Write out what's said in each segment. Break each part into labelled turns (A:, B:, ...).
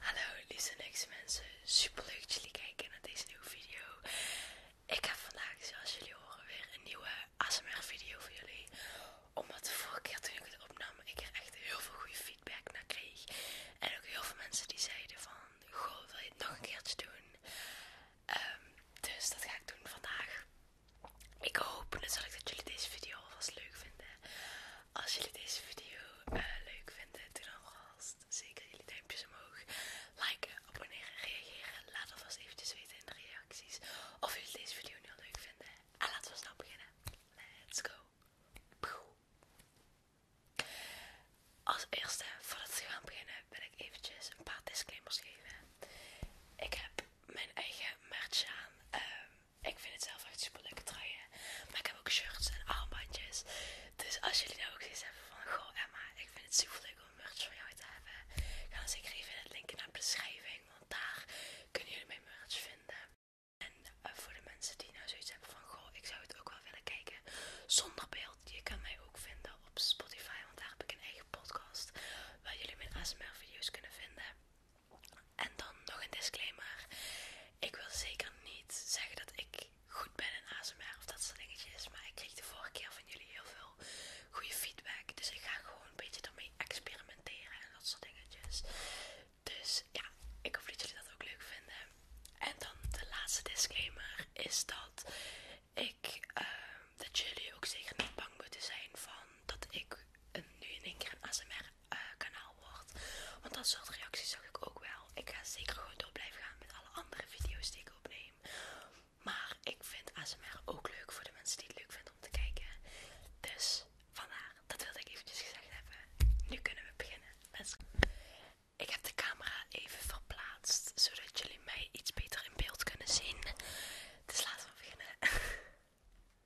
A: Hallo lieve mensen, super leuk dat jullie kijken naar deze nieuwe video. Ik heb vandaag, zoals jullie horen, weer een nieuwe ASMR video voor jullie. Omdat de vorige keer toen ik het opnam, ik er echt heel veel goede feedback naar kreeg. En ook heel veel mensen die zeiden van, goh wil je het nog een keertje doen? Ehm, dus dat ga ik doen vandaag. Ik hoop natuurlijk dat jullie deze video alvast leuk vinden. Als jullie deze video eh, leuk vinden, doe dan vast zeker jullie duimpjes omhoog. like abonneren, reageren. Laat alvast eventjes weten in de reacties of jullie deze video nu leuk vinden. En laten we snel beginnen. Let's go! Als eerste, voordat we gaan beginnen, wil ik eventjes een paar disclaimers geven. Ik heb mijn eigen merch aan. Ehm, ik vind het zelf echt super lekker truien. Maar ik heb ook shirts en armbandjes. Dus als jullie nou ook zoiets hebben van, goh Emma, ik vind het super leuk om merch voor jou te hebben. Ga dan zeker even in het linkje naar de beschrijving, want daar kunnen jullie mijn merch vinden. En eh, voor de mensen die nou zoiets hebben van, goh, ik zou het ook wel willen kijken zonder beeld. Je kan mij ook vinden op Spotify, want daar heb ik een eigen podcast waar jullie mijn ASMR video's kunnen vinden. En dan nog een disclaimer. Ik wil zeker niet zeggen dat ik goed ben in ASMR of dat soort dingetjes. Maar ik kreeg de vorige keer van jullie heel veel goede feedback. Dus ik ga gewoon een beetje daarmee experimenteren en dat soort dingetjes. Dus ja, ik hoop dat jullie dat ook leuk vinden. En dan de laatste disclaimer is dat ik ehm, dat jullie ook zeker niet bang moeten zijn van dat ik nu in één keer een ASMR eh, kanaal wordt. Want dat soort reacties zag ik ook wel. Ik ga zeker gewoon door blijven gaan met alle andere video's die ik opneem. Maar ik vind ASMR ook leuk voor de mensen die het leuk vinden om te kijken. Dus vandaar, dat wilde ik eventjes gezegd hebben. Nu kunnen we beginnen. Let's go. Ik heb de camera even verplaatst, zodat jullie mij iets beter in beeld kunnen zien. Dus laten we beginnen.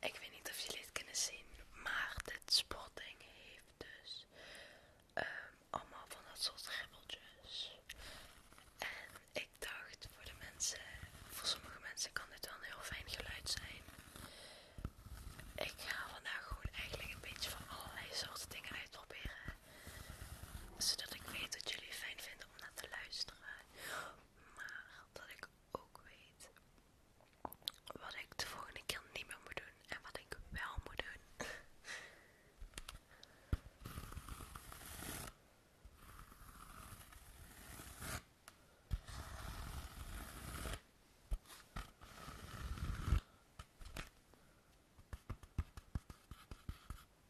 A: Ik weet niet of jullie het kunnen zien, maar dit sportding heeft dus ehm, allemaal van dat soort ribbeltjes. En ik dacht voor de mensen, voor sommige mensen kan dit wel een heel fijn geluid zijn. Ik ga vandaag gewoon eigenlijk een beetje van allerlei soorten dingen uitproberen. Zodat ik weet wat jullie fijn vinden om te luisteren. Maar dat ik ook weet wat ik de volgende keer niet meer moet doen en wat ik wel moet doen.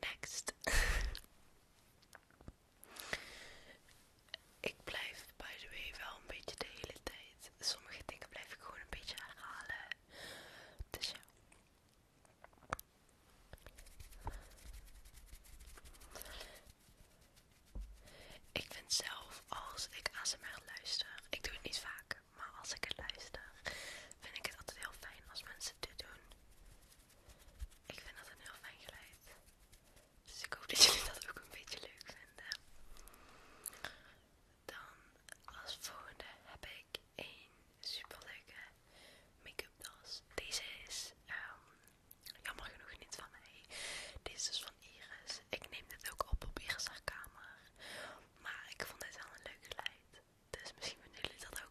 A: Next. ik blijf, by the way, wel een beetje de hele tijd. Sommige dingen blijf ik gewoon een beetje halen. Dus ik vind zelf, als ik ASMR luister, ik doe het niet vaak, maar als ik het luister, vind ik het altijd heel fijn als mensen dit doen. Ik vind dat een heel fijn geluid. Dus ik hoop dat jullie dat ook een beetje leuk vinden. Dan als volgende heb ik een super leuke make-up tas. Deze is ehm, Jammer genoeg niet van mij. Deze is dus van Iris. Ik neem dit ook op op Iris kamer. Maar ik vond dit wel een leuk geluid. Dus misschien vinden jullie dat ook.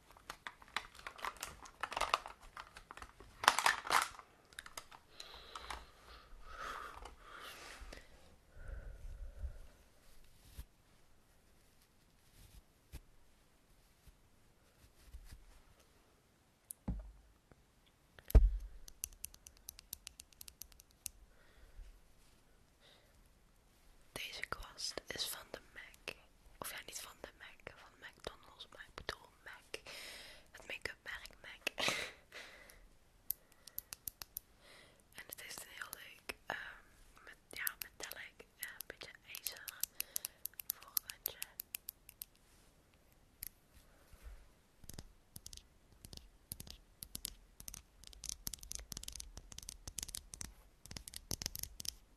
A: Deze kwast is van de MAC. Of ja, niet van de Mac, van McDonald's, maar ik bedoel Mac. Het make-up merk Mac. en het is een heel leuk, um, met, ja, metallic, en eh, een beetje ijzer voorkantje.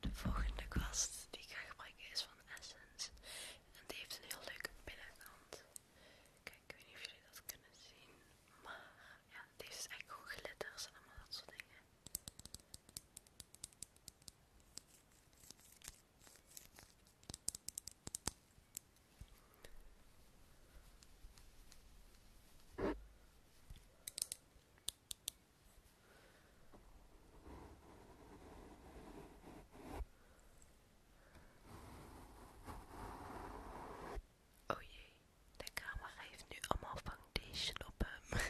A: De volgende kwast die ik ga gebruiken is van Essence. En die heeft een heel leuke binnenkant. Kijk, ik weet niet of jullie dat kunnen zien. Maar ja, deze is dus echt gewoon glitters en allemaal dat soort dingen. Oh jee, de camera heeft nu allemaal foundation op hem.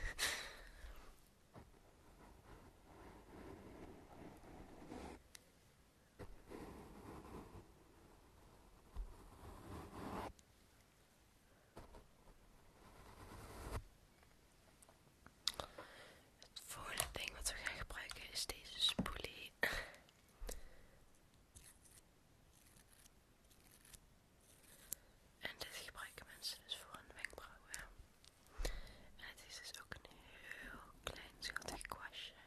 A: Het volgende ding wat we gaan gebruiken is deze spoelie. En dit gebruiken mensen dus voor hun wenkbrauwen. En het is dus ook een heel klein schattig kwastje.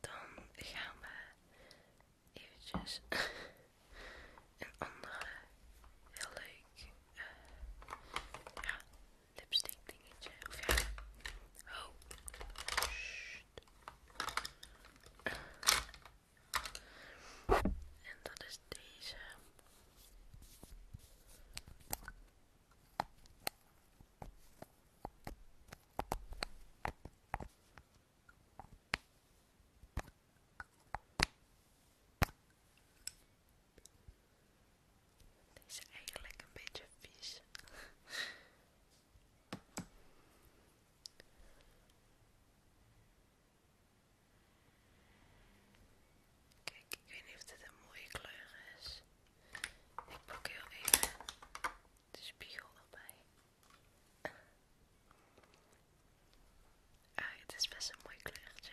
A: Dan gaan we eventjes een andere heel leuk eh. ja, lipstick dingetje. Of ja, oh, en dat is deze. Deze is eigenlijk een beetje vies. Kijk, ik weet niet of dit een mooie kleur is. Ik pak heel even de spiegel erbij. Ah, het is best een mooi kleurtje.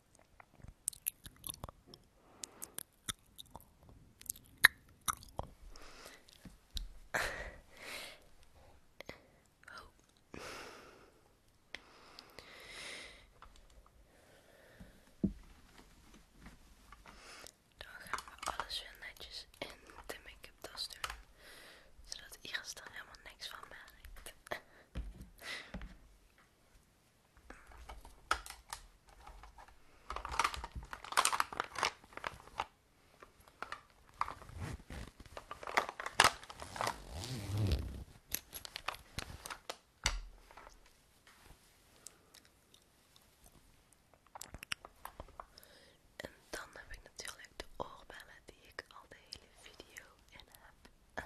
A: Oh. Dan gaan we alles weer netjes in de make tas doen, zodat Iris er helemaal niks van merkt. En dan heb ik natuurlijk de oorbellen die ik al de hele video in heb.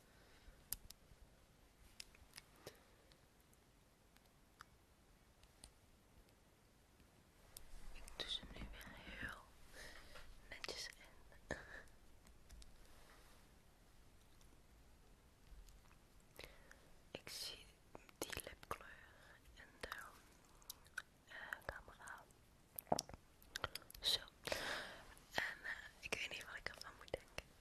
A: Ik doe ze nu weer heel netjes in. Ik zie die lipkleur in de eh, camera zo. En eh, ik weet niet wat ik ervan moet denken.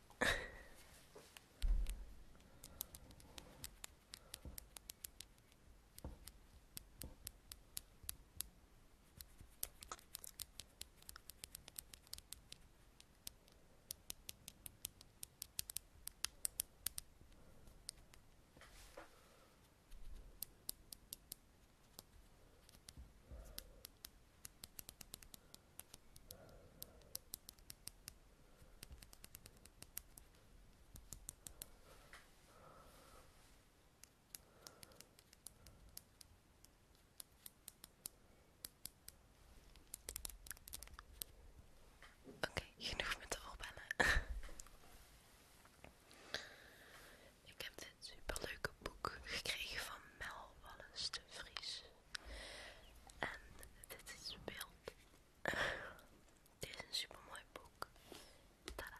A: Oké, genoeg met de oorbellen. Ik heb dit superleuke boek gekregen van Mel Wallis de Vries. En dit is beeld. dit is een mooi boek. Tada!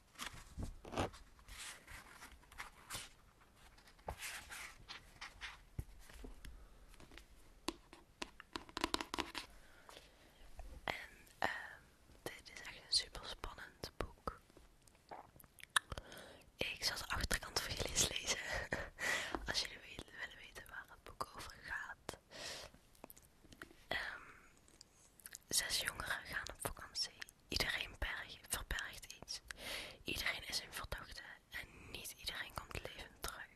A: En ehm, dit is echt een super spannend boek. Ik zal de achterkant voor jullie eens lezen. Als jullie willen weten waar het boek over gaat. Ehm Zes jongeren gaan op vakantie. Iedereen verbergt iets. Iedereen is in verdachte en niet iedereen komt levend terug.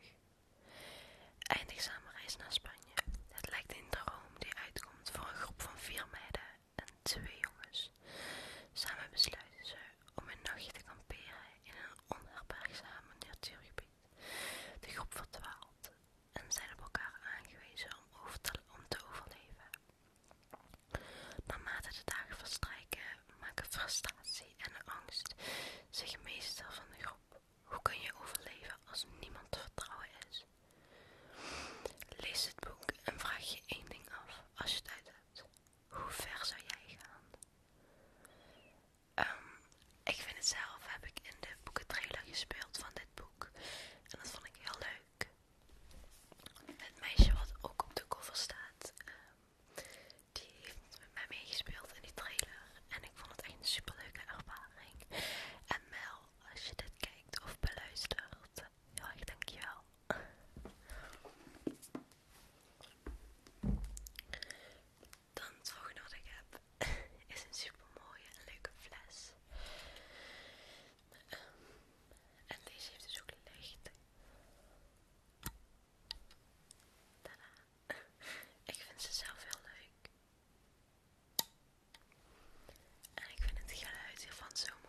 A: Eindigzame reis naar Spanje. Het lijkt een droom die uitkomt voor een groep van vier meiden en twee jongens. Samen besluiten ze om een nachtje te kamperen in een onherbergzame natuurgebied. De groep verdwaalt, en zijn op elkaar aangewezen om, te, om te overleven. Naarmate de dagen strijken maken frustratie en angst zich meestal van de groep. Hoe kun je overleven als niemand te vertrouwen is? Lees het boek en vraag je één ding af als je het uit hebt. Hoe ver zou jij gaan? Ehm, ik vind het zelf, heb ik in de boekentrailer gespeeld van boek. En dat vond ik heel leuk. Het meisje wat ook op de cover staat, ehm, die heeft met mij meegespeeld in die trailer. En ik vond het echt een leuke ervaring. En Mel, als je dit kijkt of beluistert, heel erg dankjewel. Dan het volgende wat ik heb is een super mooie en leuke fles. Ehm, en deze heeft dus ook licht. Tada. Ik vind ze zelf heel leuk. En ik vind het geluid hiervan zo mooi.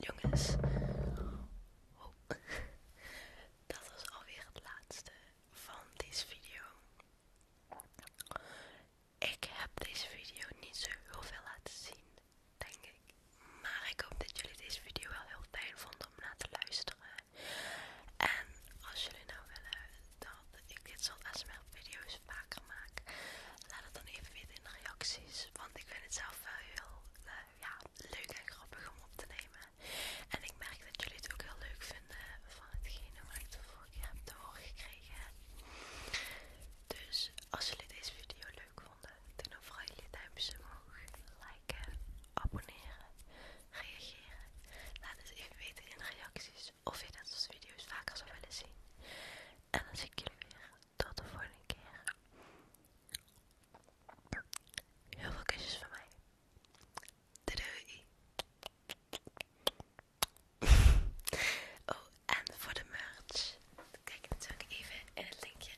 A: Jongens, oh. dat was alweer het laatste van deze video. Ik heb deze video niet zo heel veel laten zien, denk ik. Maar ik hoop dat jullie deze video wel heel fijn vonden om naar te luisteren. En als jullie nou willen dat ik dit soort sml videos vaker maak. Laat het dan even weten in de reacties, want ik vind het zelf wel heel eh, ja, leuk en grappig om op te nemen. En ik merk dat jullie het ook heel leuk vinden van hetgene wat ik de vorige keer heb te horen gekregen. Dus als jullie deze video leuk vonden, dan vooral jullie duimpjes omhoog, liken, abonneren, reageren. Laat het even weten in de reacties dus of je dat soort video's vaker zou willen zien. En dan zie ik jullie weer tot de volgende keer. Heel veel kusjes van mij. doei. Oh, en voor de merch. Kijk natuurlijk even in het linkje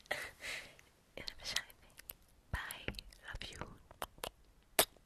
A: in de beschrijving. Bye, love you.